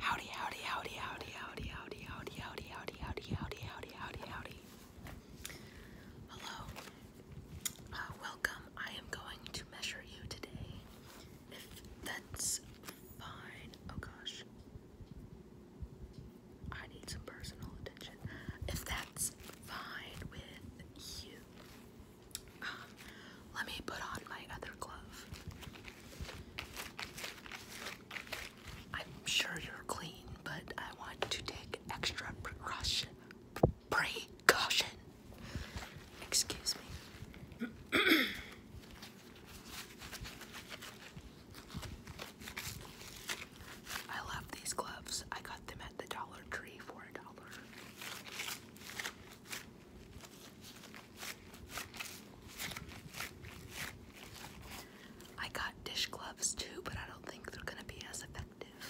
Howdy, howdy, howdy, howdy, howdy, howdy, howdy, howdy, howdy, howdy, howdy, howdy, howdy, Hello. welcome. I am going to measure you today. If that's fine. Oh gosh. I need some personal attention. If that's fine with you let me put on my other glove. I'm sure you're clean, but I want to take extra precaution. Precaution. Excuse me. I love these gloves. I got them at the Dollar Tree for a dollar. I got dish gloves too, but I don't think they're going to be as effective.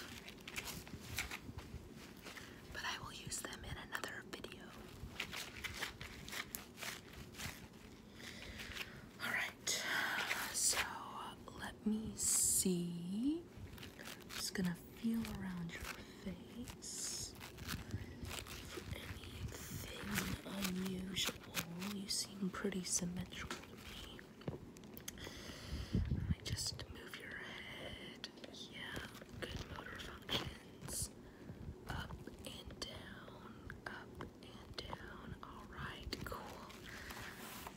But I will use them in another video. Alright, so let me see. i gonna feel around your face for anything unusual. You seem pretty symmetrical I just move your head. Yeah, good motor functions. Up and down, up and down. Alright, cool.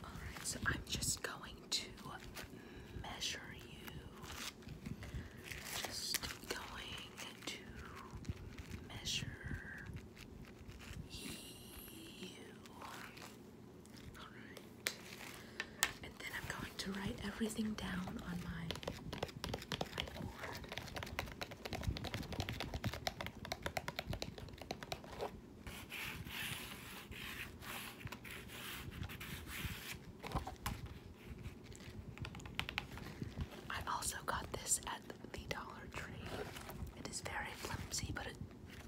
Alright, so I'm just going to measure you just going to measure you. Alright. And then I'm going to write everything down on my I also got this at the Dollar Tree. It is very flimsy, but it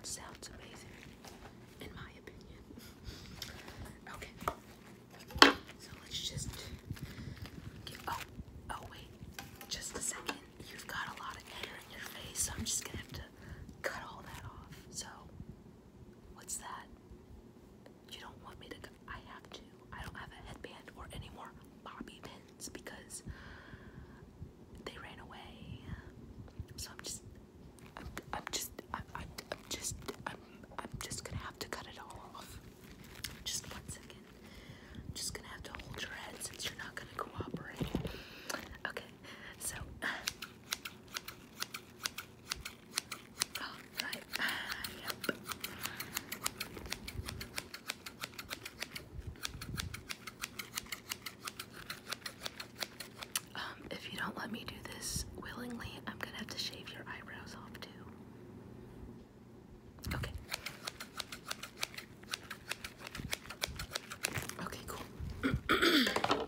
sounds amazing, in my opinion. okay, so let's just Oh, oh, wait, just a second. You've got a lot of hair in your face, so I'm just gonna have to cut all that off. So, what's that? you don't want me to I have to. I don't have a headband or any more bobby pins because they ran away. So I'm just I'm, I'm just I'm, I'm, I'm just I'm I'm just gonna have to cut it all off. Just one second. I'm just gonna have to hold your head since you're not gonna cooperate. Okay, so Oh, um, if you don't let me do this willingly, I'm gonna have to shave your eyebrows off too. Okay. Okay, cool.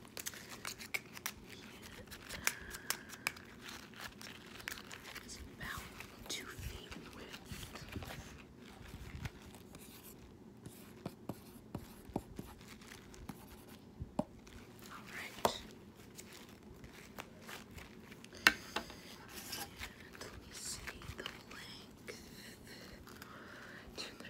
Yeah. It's about two feet in All right. let me see the length.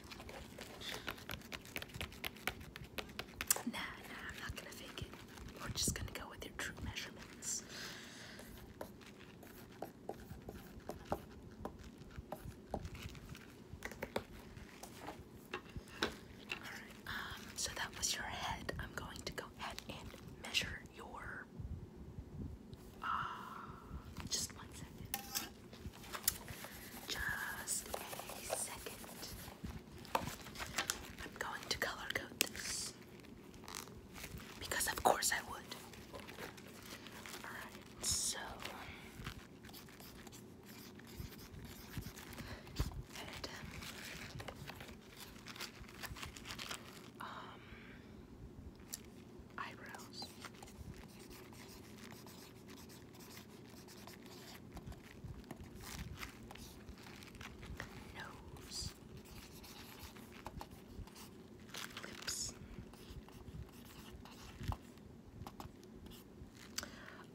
Nah, nah, I'm not gonna fake it. We're just gonna go with your true measurements. Alright, um, so that was your head. I'm going to go ahead and measure your. Ah, just one second. Just a second. I'm going to color code this. Because of course I would. Alright, so um, um, eyebrows. Nose, lips.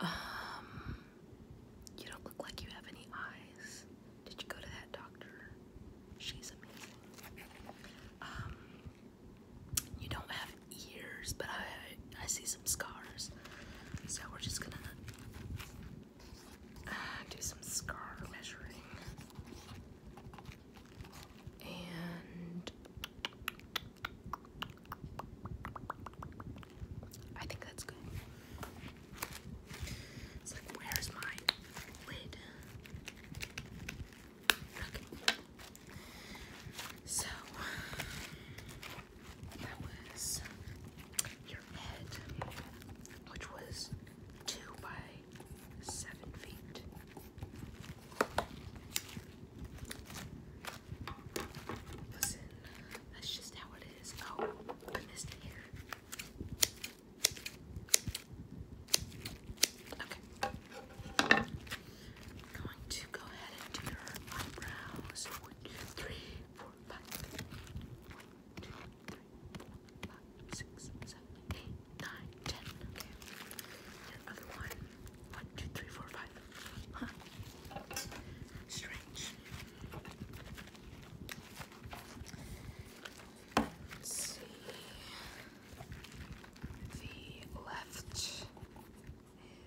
Um, you don't look like you have any eyes. Did you go to that doctor? She's amazing. Um, you don't have ears, but I I see some scars. So we're just gonna uh, do some scar measuring. And I think that's good. where's my lid? So, that was your head, which was two by seven feet. Listen, that's just how it is. Oh, I missed here. Okay. going to go ahead and do your eyebrows one, two, three, four, five, six, one, two, three, four, five, six, seven, eight, nine, ten. Okay. Your one. One, two, three, four, five. Huh. Strange. Let's see. The left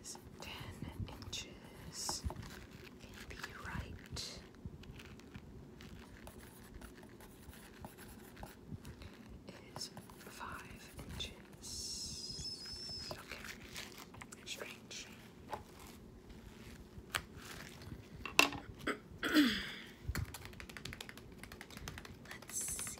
is 10 inches. Can be right? Is five inches. Okay. Strange. Let's see.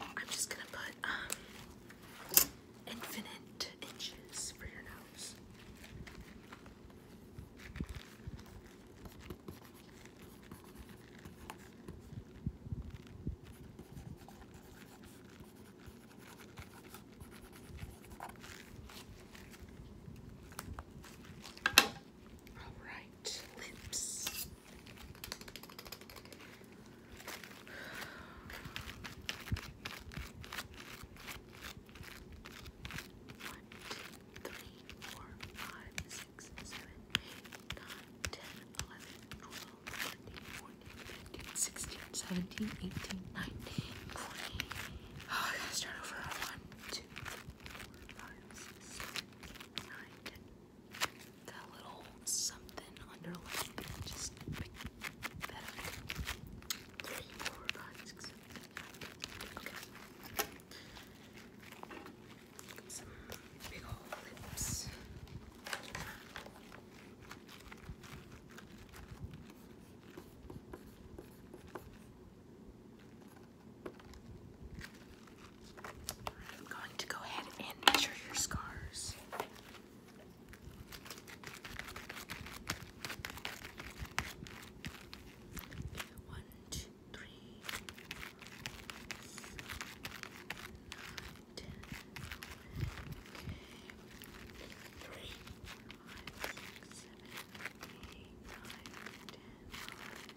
I'm just gonna put um, infinite inches for your nose. All right, lips. One, two, three, four, five, six, seven, eight, nine, ten, eleven, twelve, thirteen, fourteen, fifteen, sixteen, seventeen, eighteen, nineteen, twenty. Oh, I gotta start over. One, two, three, four, five, six, seven, eight, nine, ten, that little something underlying it. Just pick that up. Three, four, five, six, seven, eight, nine, ten. Okay. Some big old lips. I'm going to go ahead and measure your scars. One, two, three, nine, ten.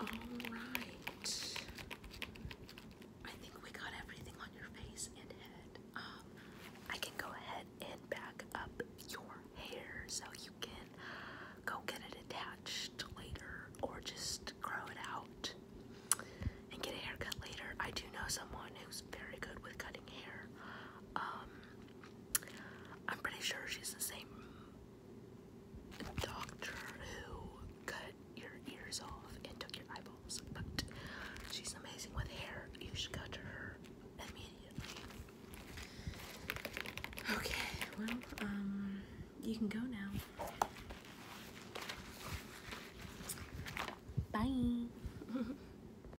All right. I think we got everything on your face and head. Um, I can go ahead and back up your hair so you can go get it attached later or just grow it out and get a haircut later. I do know someone who's very good with cutting hair. Um, I'm pretty sure she's the same doctor who cut your ears off and took your eyeballs, but she's amazing with hair. You should go to her immediately. Okay, well, um, you can go now. Bye.